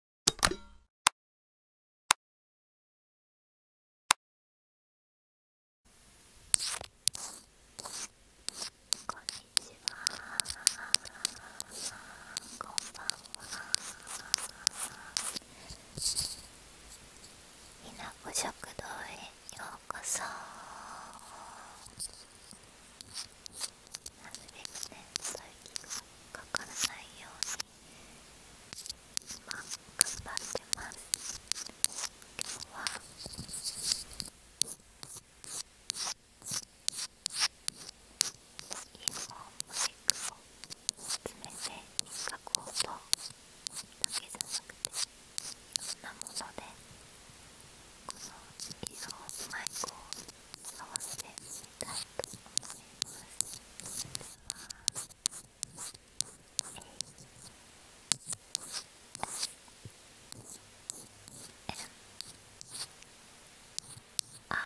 こなこ食堂へようこそなるべくね、そうかからないように今頑張ってます今日はインフもムテックを詰めて書こうとだけじゃなくていろんなものでこのインーォマイクを合わせすでああ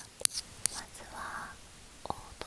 「まずは王道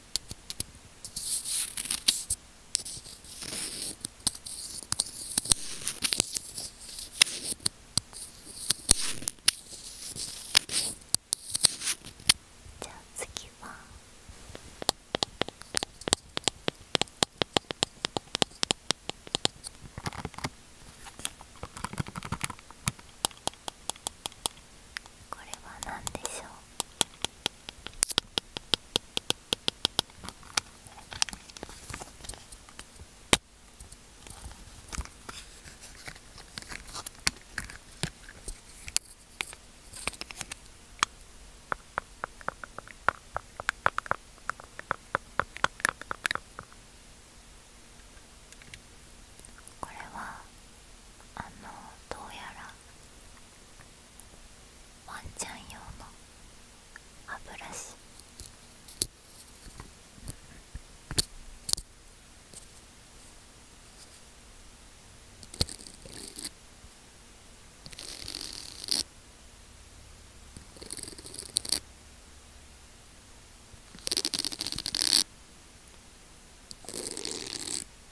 じゃあ次はこれは何でしょうこれはあのどうやらワンちゃん用の歯ブラシ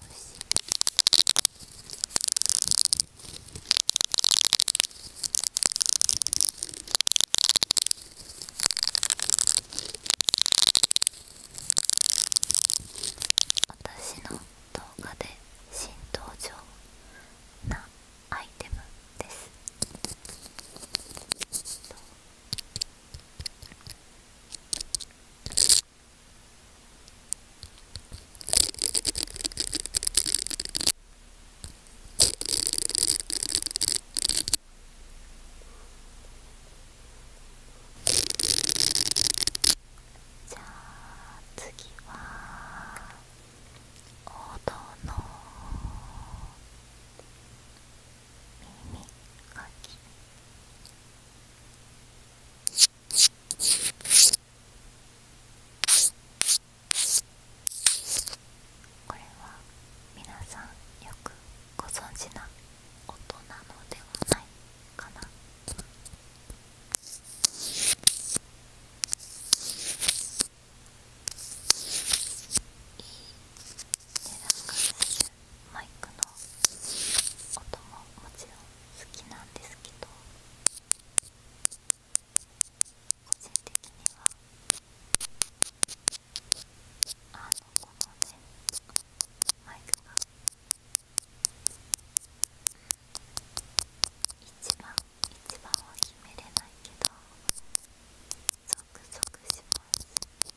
おいし私の動画で新登場なアイテムですじゃあ次は王道の耳かきこれは皆さんよくご存じな音なのではないかないい値段がするマイクの音ももちろん好きなんですけど個人的にはあのこのねマイクが一番一番は決めれないけどゾクゾクします。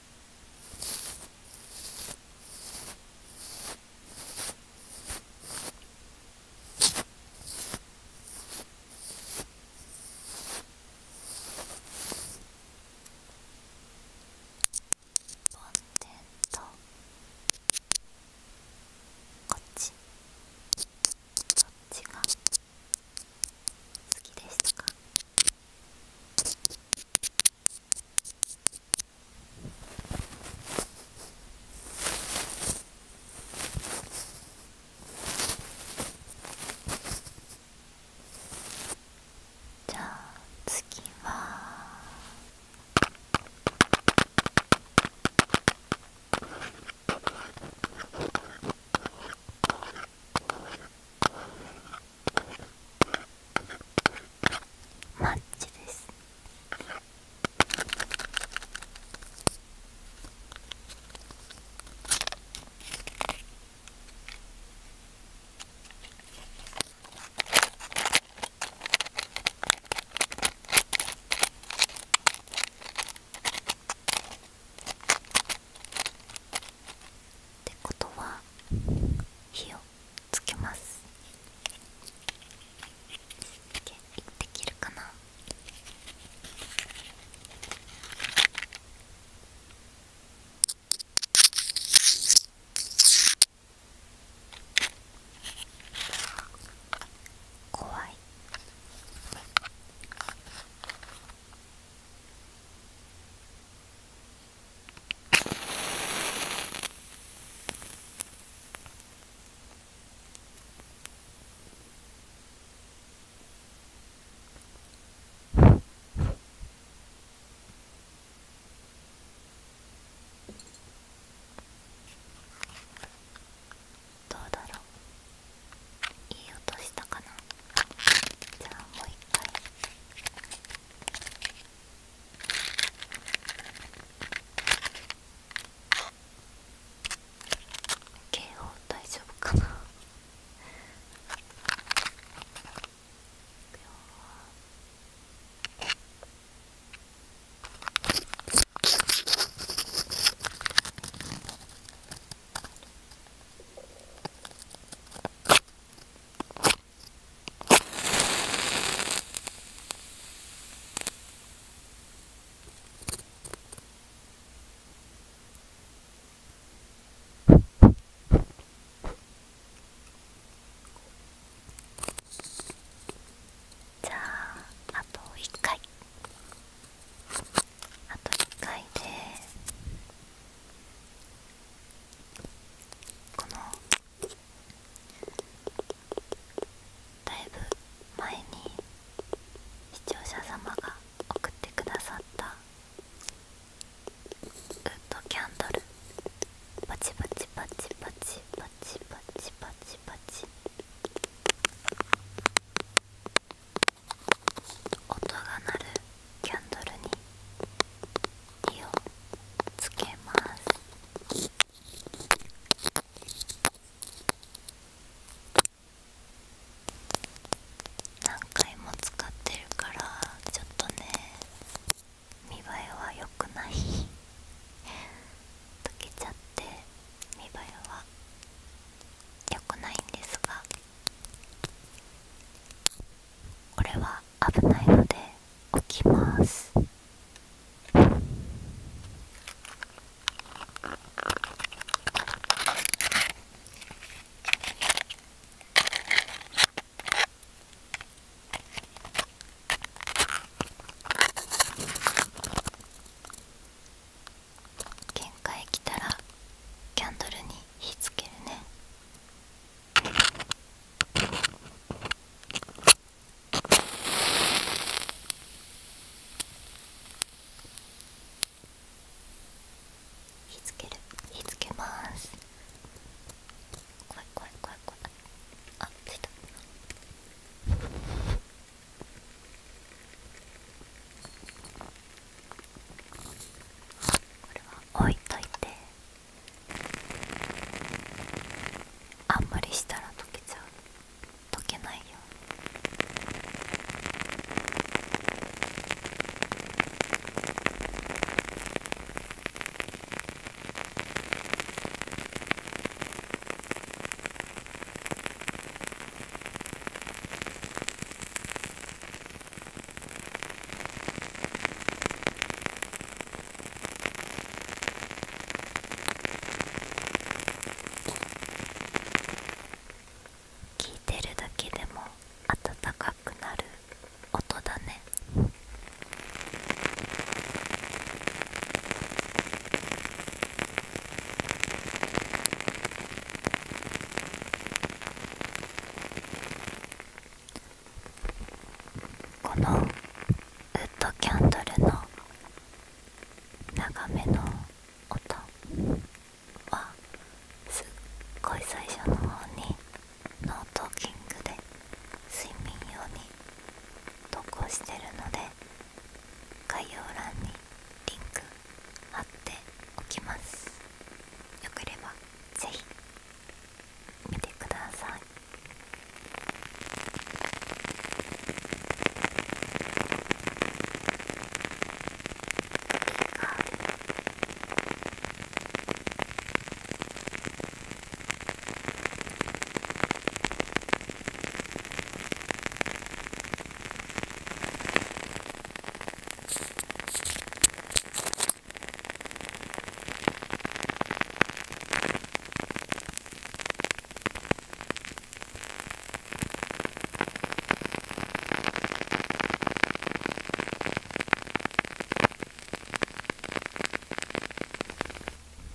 梵天とこっちどっちが好きでしたかじゃあ次はマッチですってことは火をつけますできるかな怖いどうだろういい音したかなじゃあもう一回警報大丈夫かなじゃああと一回あと一回でこのだいぶ前に視聴者様が送ってくださったグッドキャンドルパチパチパチパチパチパチパチパチ音が鳴るキャンドルに火をつけます何回も使ってるからちょっとね見栄えは良くない溶けちゃって見栄えは良くないんですがこれは危ないので置きます限界来たらキャンドルに火つけるね火つける火つけます怖い怖い怖い怖いあついこれは置いといてあんまりしたら溶けちゃう溶けないよ聞いてるだけでも温かくなる音だねこのウッドキャンドルの長めの音はすっごい最初の方にノートーキングで睡眠用に投稿してるので概要欄にリンク貼っておきますよければぜひ見てください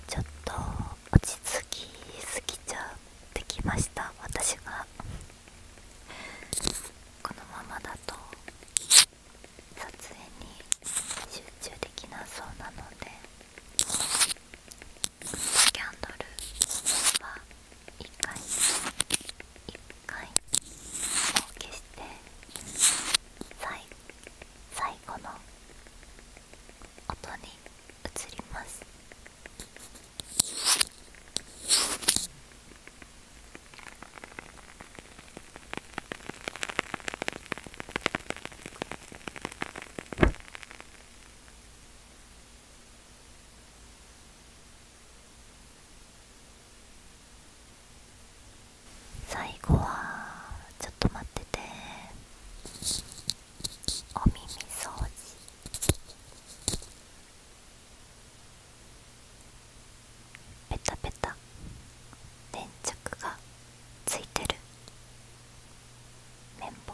ちょっと落ち着きすぎちゃってきました私がこのままだと撮影に集中できなそうなのでキャンドルは1回1回も消して最最後の音に移ります。最後はちょっと待っててお耳掃除ペタペタ粘着がついてる綿棒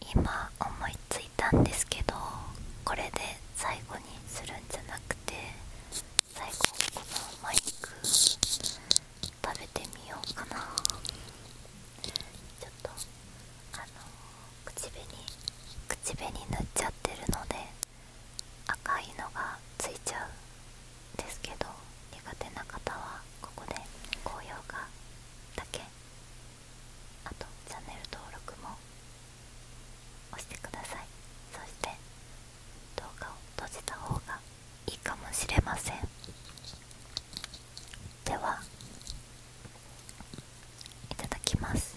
今思いついたんですけどこれで最後にするんじゃなくて最後このマイク食べてみようかなちょっとあの口紅口紅塗っちゃってるので赤いのがついちゃうですけど苦手な方はここで高評価だけあとチャンネル登録も押してくださいそして動画を閉じた方がいいかもしれませんではいただきます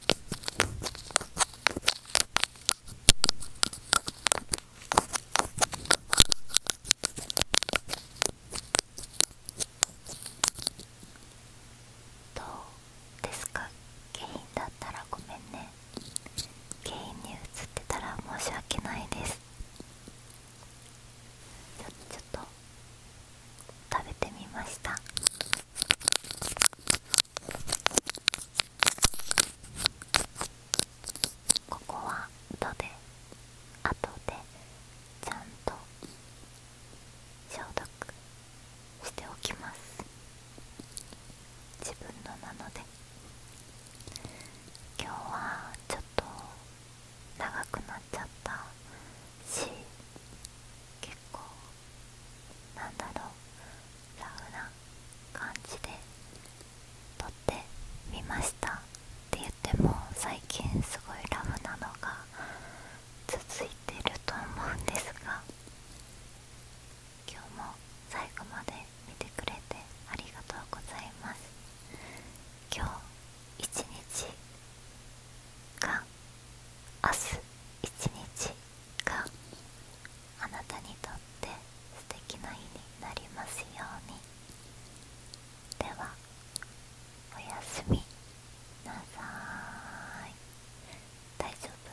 どうですか原因だったらごめんね原因に映ってたら申し訳ないですちょっと食べてみましたここは「ど」で後でちゃんと消毒しておきます自分のなので今日はちょっと長くなっちゃったし結結なんだろうラフな感じで撮ってみましたって言っても最近すごいラフなのが続いてると思うんですが今日も最後まで見てくれてありがとうございます今日一日が明日一日があなたにとって素敵な日になりますようにではおやすみなさい大丈夫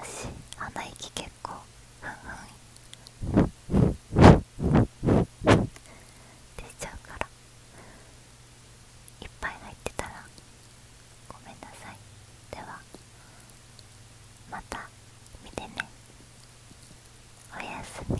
私鼻息結構ふんふん出ちゃうからいっぱい入ってたらごめんなさいではまた見てねおやすみ